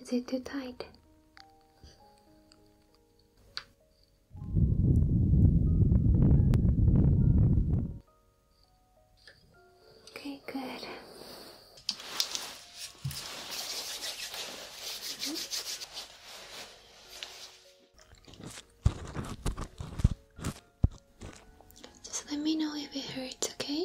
Is it too tight? Okay, good. Just let me know if it hurts, okay?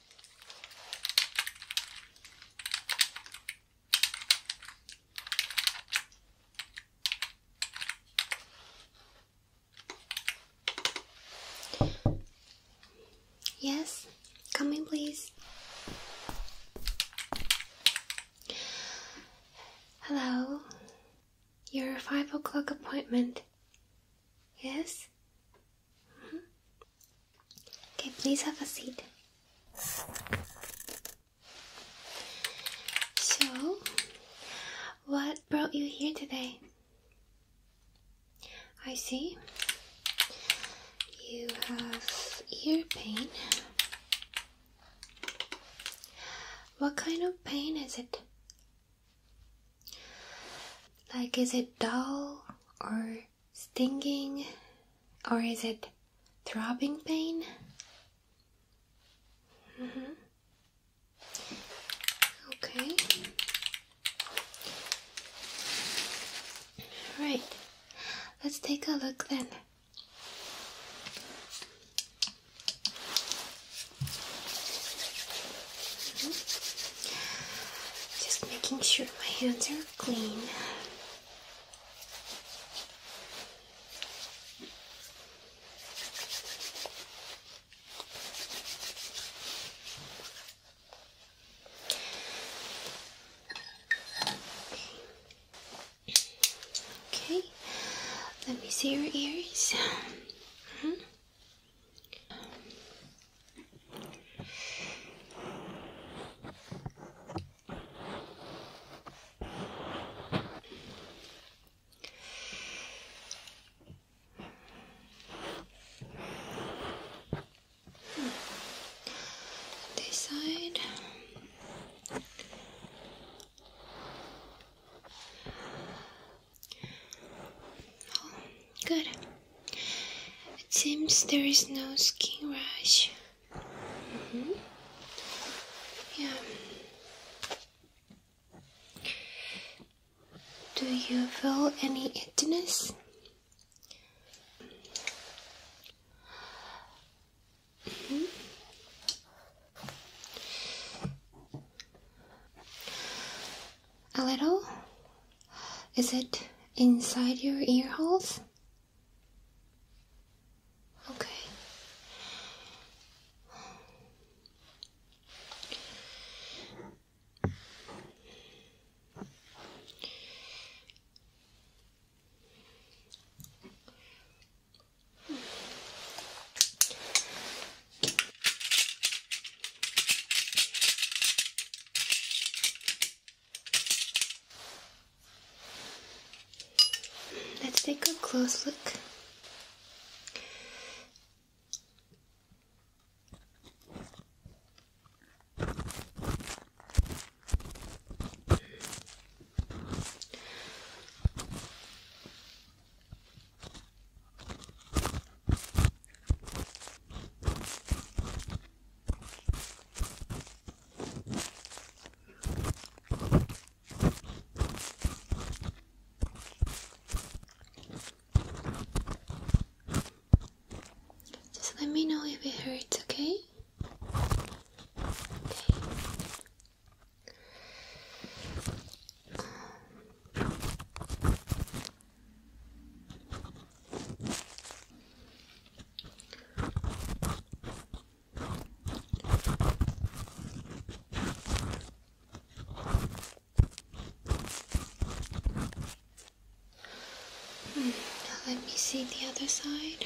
Yes, come in, please. Hello, your five o'clock appointment. Yes, Okay, please have a seat. So, what brought you here today? I see you have ear pain. What kind of pain is it? Like, is it dull or stinging or is it throbbing pain? Mm-hmm. Okay. Right. Let's take a look then. Mm-hmm. Just making sure my hands are clean. Okay. let me see your ears. -hmm. This side. Oh, good. It seems there is no skin rash. Mm-hmm. Yeah. Do you feel any itchiness? Mm-hmm. A little? Is it inside your ear holes? Okay. Let's take a close look. Just let me know if it hurts, okay? Now hmm, let me see the other side.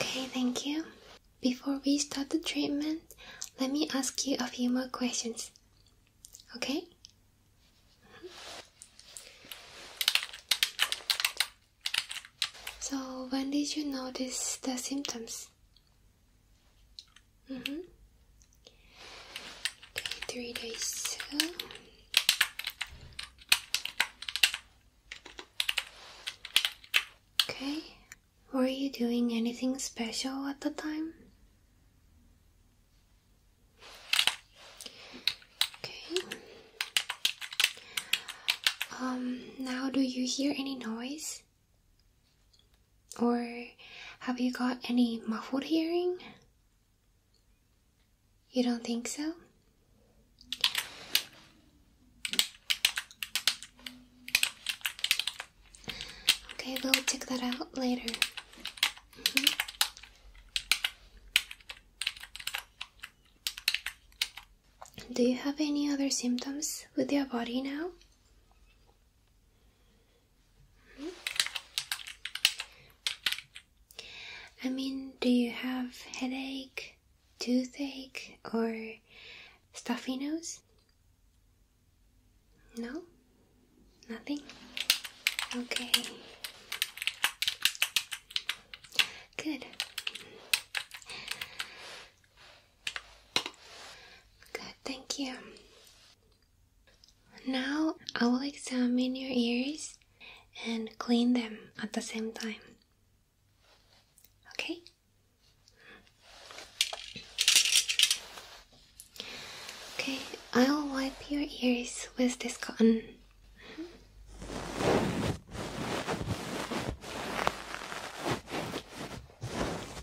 Okay, thank you. Before we start the treatment, let me ask you a few more questions. Okay? So, when did you notice the symptoms? Mm -hmm. Okay, three days. So. Okay, were you doing anything special at the time? Okay. Um, now do you hear any noise? Or have you got any muffled hearing? You don't think so? Okay, we'll check that out later. Mm-hmm. Do you have any other symptoms with your body now? I mean, do you have headache, toothache, or stuffy nose? No? Nothing? Okay. Good. Good, thank you. Now I will examine your ears and clean them at the same time. Okay? Okay, I'll wipe your ears with this cotton.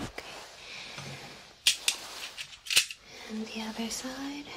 Okay. And the other side. Okay.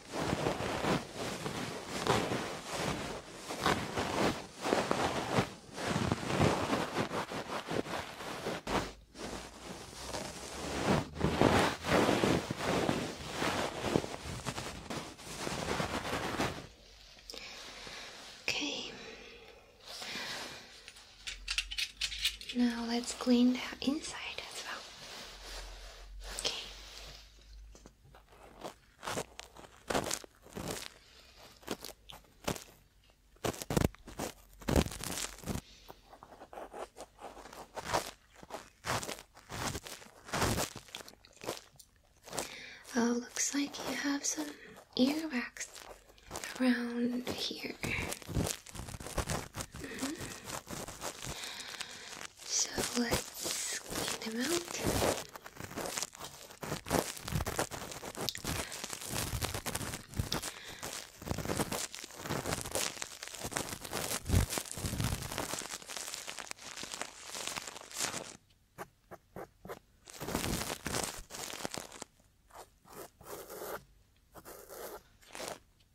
Okay. Now let's clean the inside as well. Okay. Oh, looks like you have some earwax around here. Mm-hmm. So let's get them out.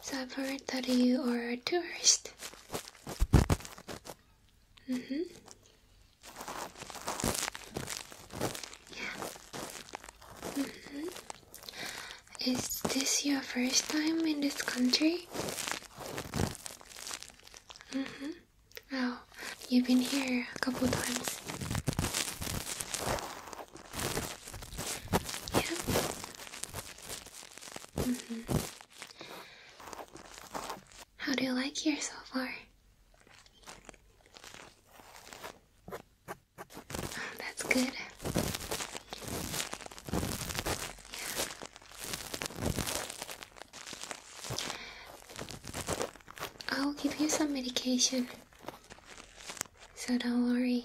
So i heard that you are a tourist. Mm-hmm. Yeah. Mm-hmm. Is this your first time in this country? Mm-hmm. Oh, you've been here a couple times. Yeah. Mm-hmm. How do you like here so far? Oh, that's good. I'll give you some medication, so don't worry.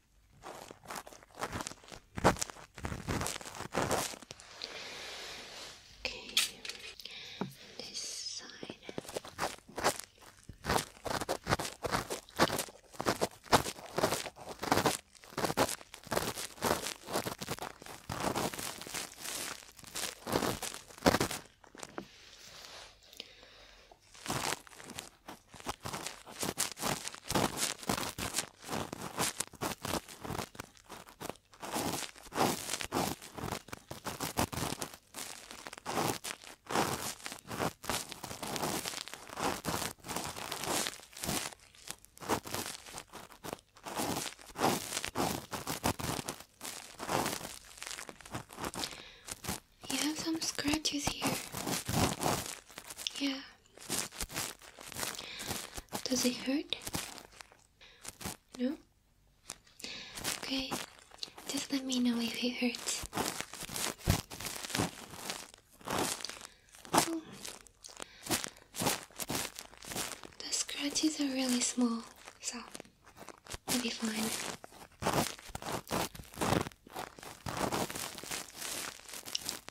Okay, and this side. Okay. You have some scratches here. Yeah. Does it hurt? No? Okay, just let me know if it hurts. Oh. The scratches are really small, so it'll be fine.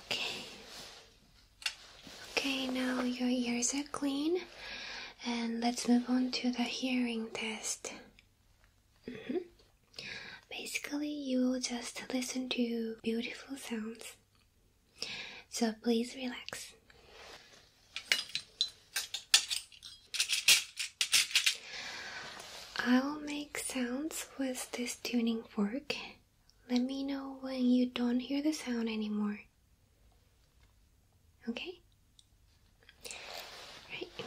Okay. Okay, now your ears are clean, and let's move on to the hearing test. Mm-hmm. Basically, you will just listen to beautiful sounds. So please relax. I will make sounds with this tuning fork. Let me know when you don't hear the sound anymore. Okay? Right.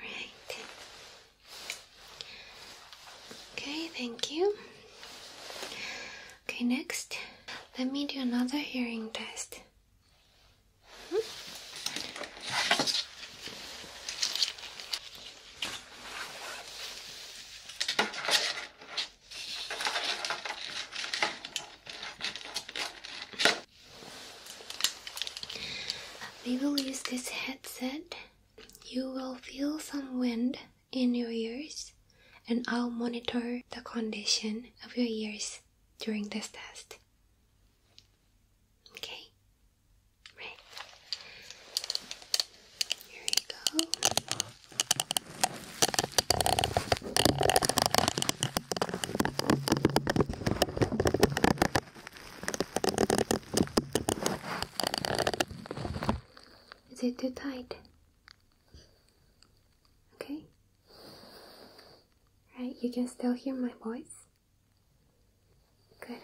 Right. Okay, thank you. Okay, next, let me do another hearing test. Hmm? We will use this headset. You will feel some wind in your ears, and I'll monitor the condition of your ears during this test. Okay? Right. Here we go. Is it too tight? Okay. Right, you can still hear my voice. Good.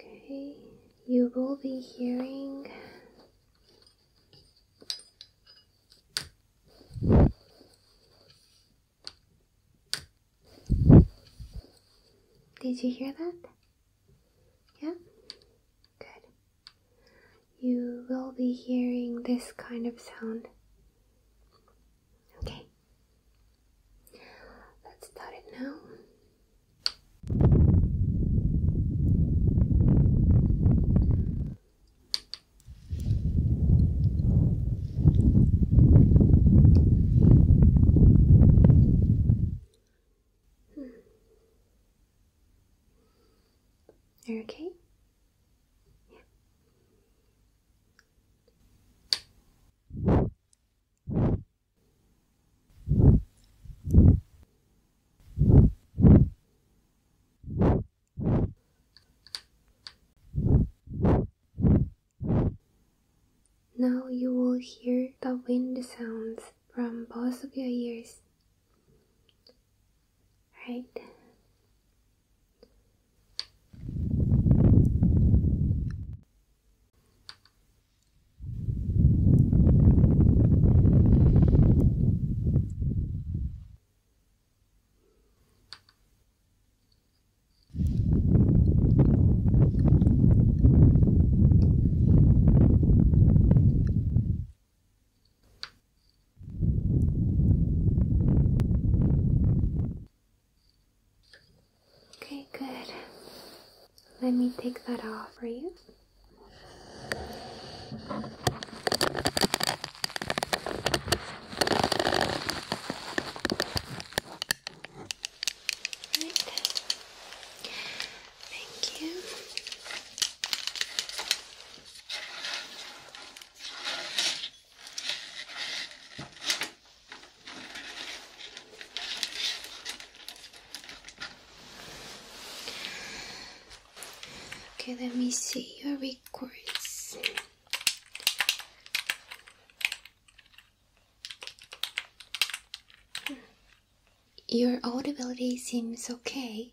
Okay, you will be hearing did you hear that? Yeah? Good. You will be hearing this kind of sound. Okay. Let's start it now. Hmm. You're okay? Now you will hear the wind sounds from both of your ears. Right. Okay, good. Let me take that off for you. Thank you. Okay, let me see your records. Your audibility seems okay,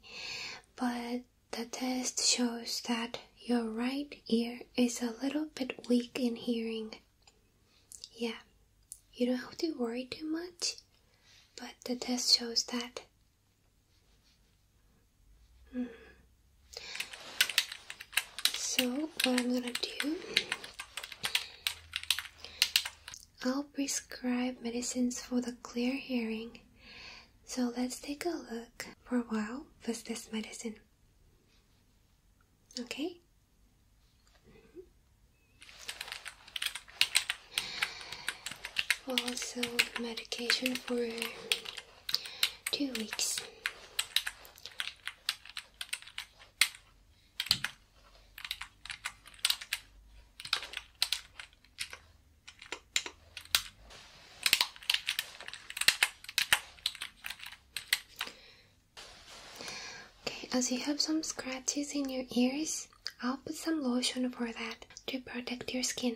but the test shows that your right ear is a little bit weak in hearing. Yeah, you don't have to worry too much, but the test shows that. Hmm. So, what I'm gonna do I'll prescribe medicines for the clear hearing. So let's take a look for a while with this medicine. Okay? Mm-hmm. Also, medication for two weeks. Okay, as you have some scratches in your ears, I'll put some lotion for that to protect your skin.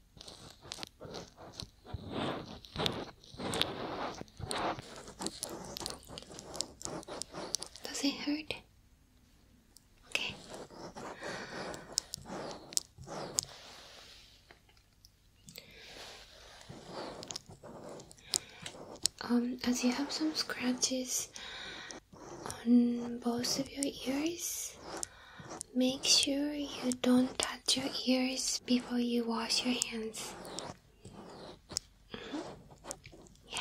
Does it hurt? Okay. Um, as you have some scratches on both of your ears, Make sure you don't touch your ears before you wash your hands. Yeah.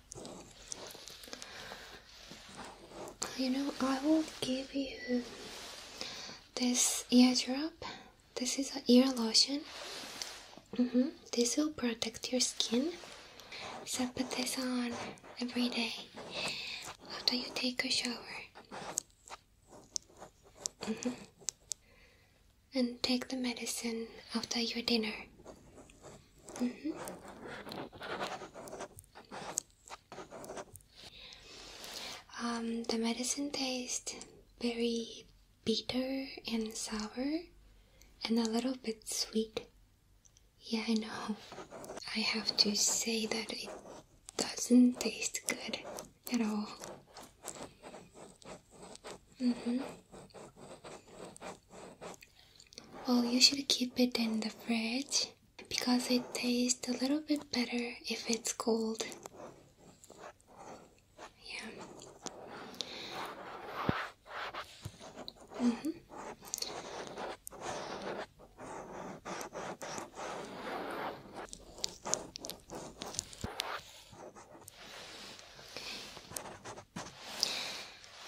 You know, I will give you this ear drop. This is an ear lotion. Mm-hmm. This will protect your skin. So put this on every day after you take a shower. Mm-hmm. And take the medicine after your dinner. Mm-hmm. Um, the medicine tastes very bitter and sour and a little bit sweet. Yeah, I know. I have to say that it doesn't taste good at all. Mm-hmm. Well, you should keep it in the fridge because it tastes a little bit better if it's cold. Yeah. Mm -hmm.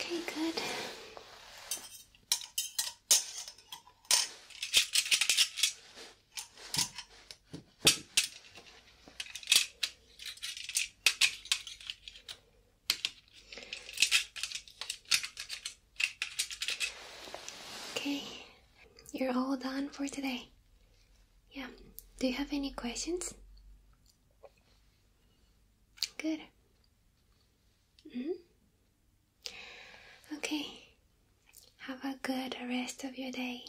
Okay, good. Okay, you're all done for today. Yeah, do you have any questions? Good. -hmm. Okay, have a good rest of your day.